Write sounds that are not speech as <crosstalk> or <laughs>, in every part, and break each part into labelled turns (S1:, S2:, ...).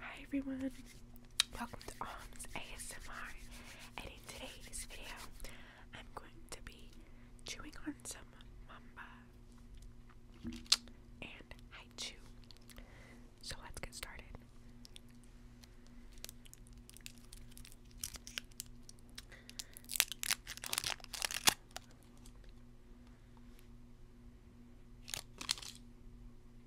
S1: Hi everyone, welcome to Arms ASMR and in today's video I'm going to be chewing on some mamba and I chew. So let's get started.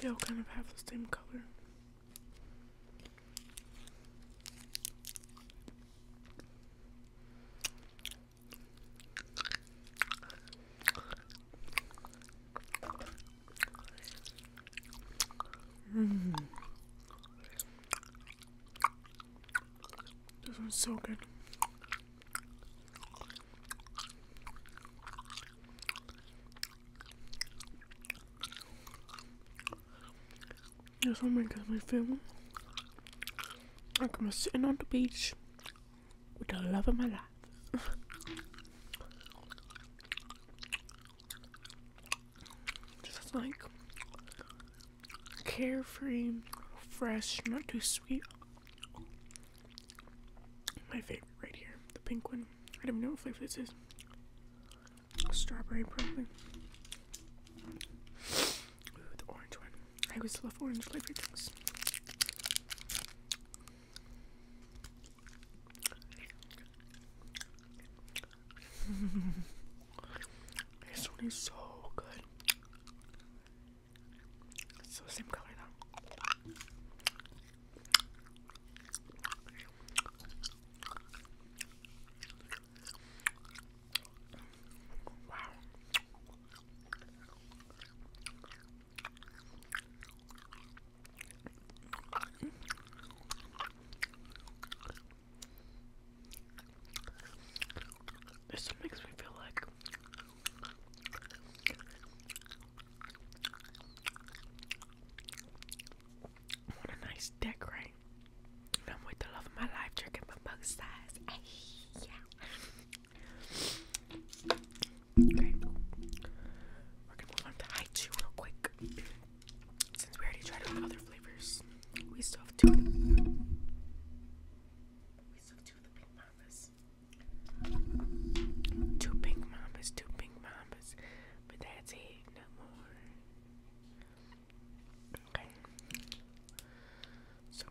S1: They all kind of have the same color. Mm. This one's so good. This one makes me feel like I'm sitting on the beach with the love of my life. <laughs> Just like carefree, fresh, not too sweet. My favorite right here, the pink one. I don't know what flavor this is. Strawberry, probably. the orange one. I always love orange flavored things. <laughs> this one is so good. It's the same color though. Wow. This makes me feel like I a nice dick, right? I'm with the love of my life drinking my bug size. yeah. Okay. We're gonna move on to high two real quick. Since we already tried it with other flavors, we still have two. Of the, we still have two of the pink mambas. Two pink mambas, two pink mambas, but that's it, no more. Okay. So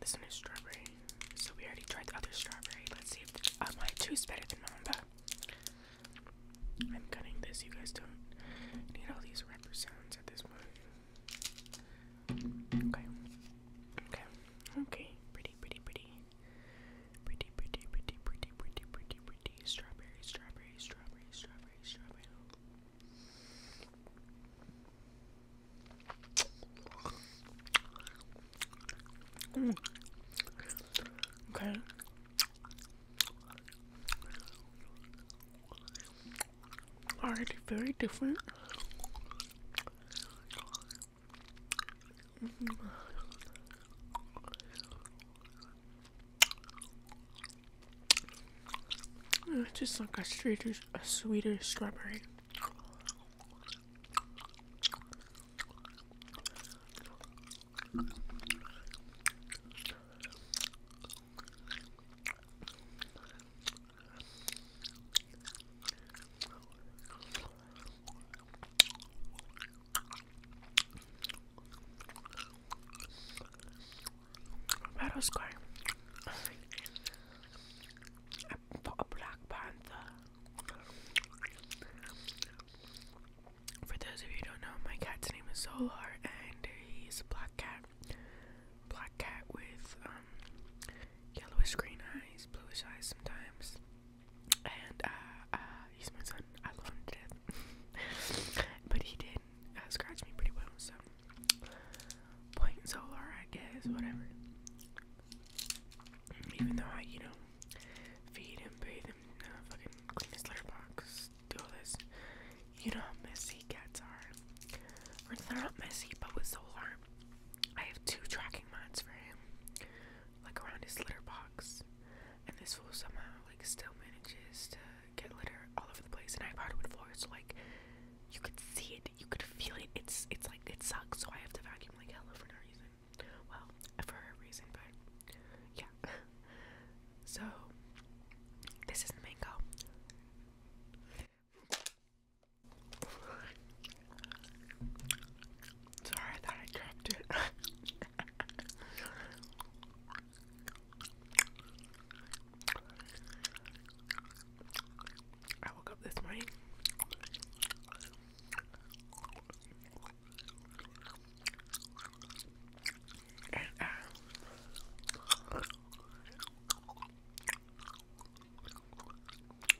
S1: this one is strawberry. So we already tried the other strawberry. Let's see if uh, my two is better than mamba. I'm cutting this. You guys don't need all these rapper sounds at this point. Okay. Okay. Okay. Pretty, pretty, pretty. Pretty, pretty, pretty, pretty, pretty, pretty, Strawberry, strawberry, strawberry, strawberry, strawberry. Mm. Okay already very different. Mm-hmm. It's just like a sweeter, a sweeter strawberry. Battle Square. A, a Black Panther. For those of you who don't know, my cat's name is Solar, and he's a black cat. Black cat with um, yellowish green eyes, bluish eyes sometimes. And uh, uh, he's my son. I love him to death. <laughs> but he did uh, scratch me pretty well, so. Point Solar, I guess, whatever. Even though I, you know, Feed him, bathe him, uh, fucking clean his litter box, do all this. You know how messy cats are. Or they're not messy, but with Solar, I have two tracking mats for him, like around his litter box. And this fool somehow, like, still manages to get litter all over the place. And I have hardwood floors, so, like, you could see it, you could feel it. It's, it's like, it sucks, so I have to vacuum, like, hella for no reason. Well, for a reason, but yeah. <laughs> So, this is the mango. Sorry, I thought I dropped it. <laughs> I woke up this morning and,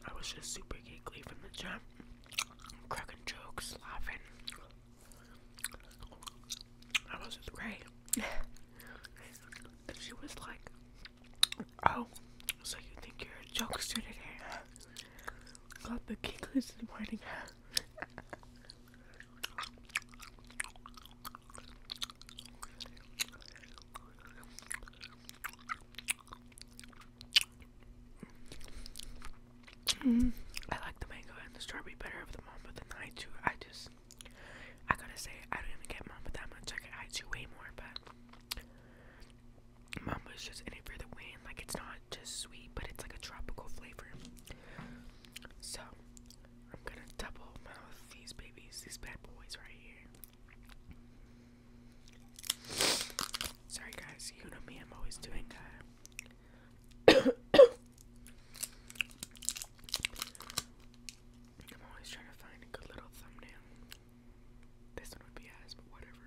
S1: I was just super giggly from the jump, cracking jokes, laughing. I was with great. <laughs> she was like, "Oh, so you think you're a jokester today? Got the giggles in the morning." I like the mango and the strawberry better of the mamba than I do. I just, I gotta say, I don't even get mamba that much. I get I do way more, but Mama's just in it for the win. Like it's not just sweet, but it's like a tropical flavor. So I'm gonna double mouth these babies, these bad boys right here. Sorry guys, you know me, I'm always doing that. Uh, <coughs> I'm always trying to find a good little thumbnail. This one would be ass, but whatever.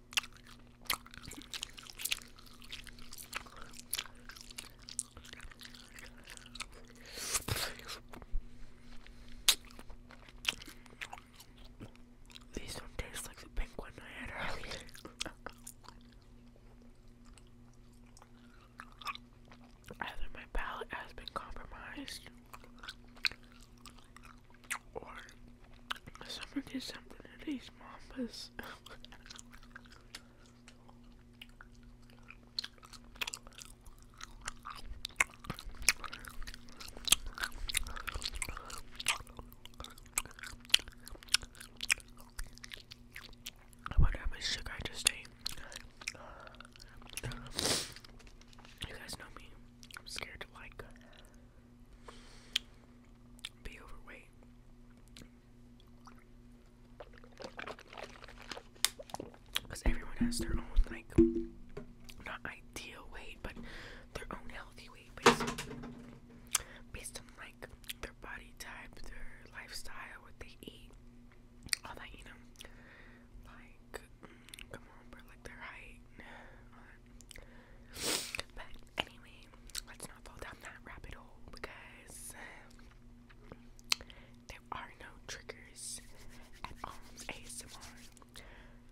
S1: These don't taste like the pink one I had earlier. Either my palate has been compromised or someone did something to these mambas. What how much sugar I just ate? You guys know me. I'm scared to like be overweight. Because everyone has their own, like, not ideal weight, but their own healthy weight based on, based on like, their body type, their lifestyle, what they eat, all that, you know. Like, mm, come on, bro, like their height, all uh, but anyway, let's not fall down that rabbit hole because there are no triggers at Alms ASMR.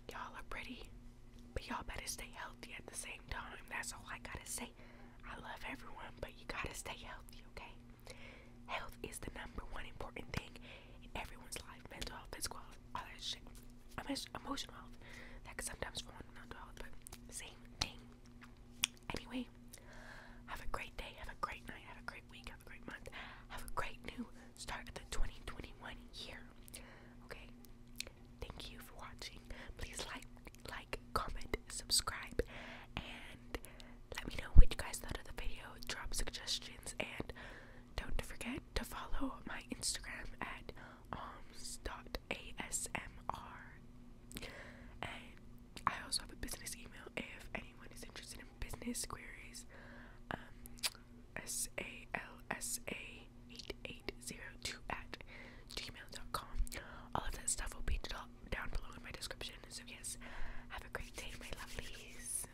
S1: Y'all are pretty, but y'all better stay healthy at the same time. That's all I gotta say. I love everyone, but you gotta stay healthy, okay? Health is the number one important thing in everyone's life mental health, physical health, all that shit emotional health. That could sometimes fall under mental health, but same thing. Anyway, have a great day, have a great night, have a great week, have a great month, have a great new start of the 2021 year. Okay, thank you for watching. Please like, like, comment, subscribe, and let me know what you guys thought of the video. Drop suggestions and don't forget to follow my Instagram at arms.asmr. And I also have a business email if anyone is interested in business queries. Um, salsa8802 at gmail.com. All of that stuff will be down below in my description. So, yes, have a great day, my lovelies.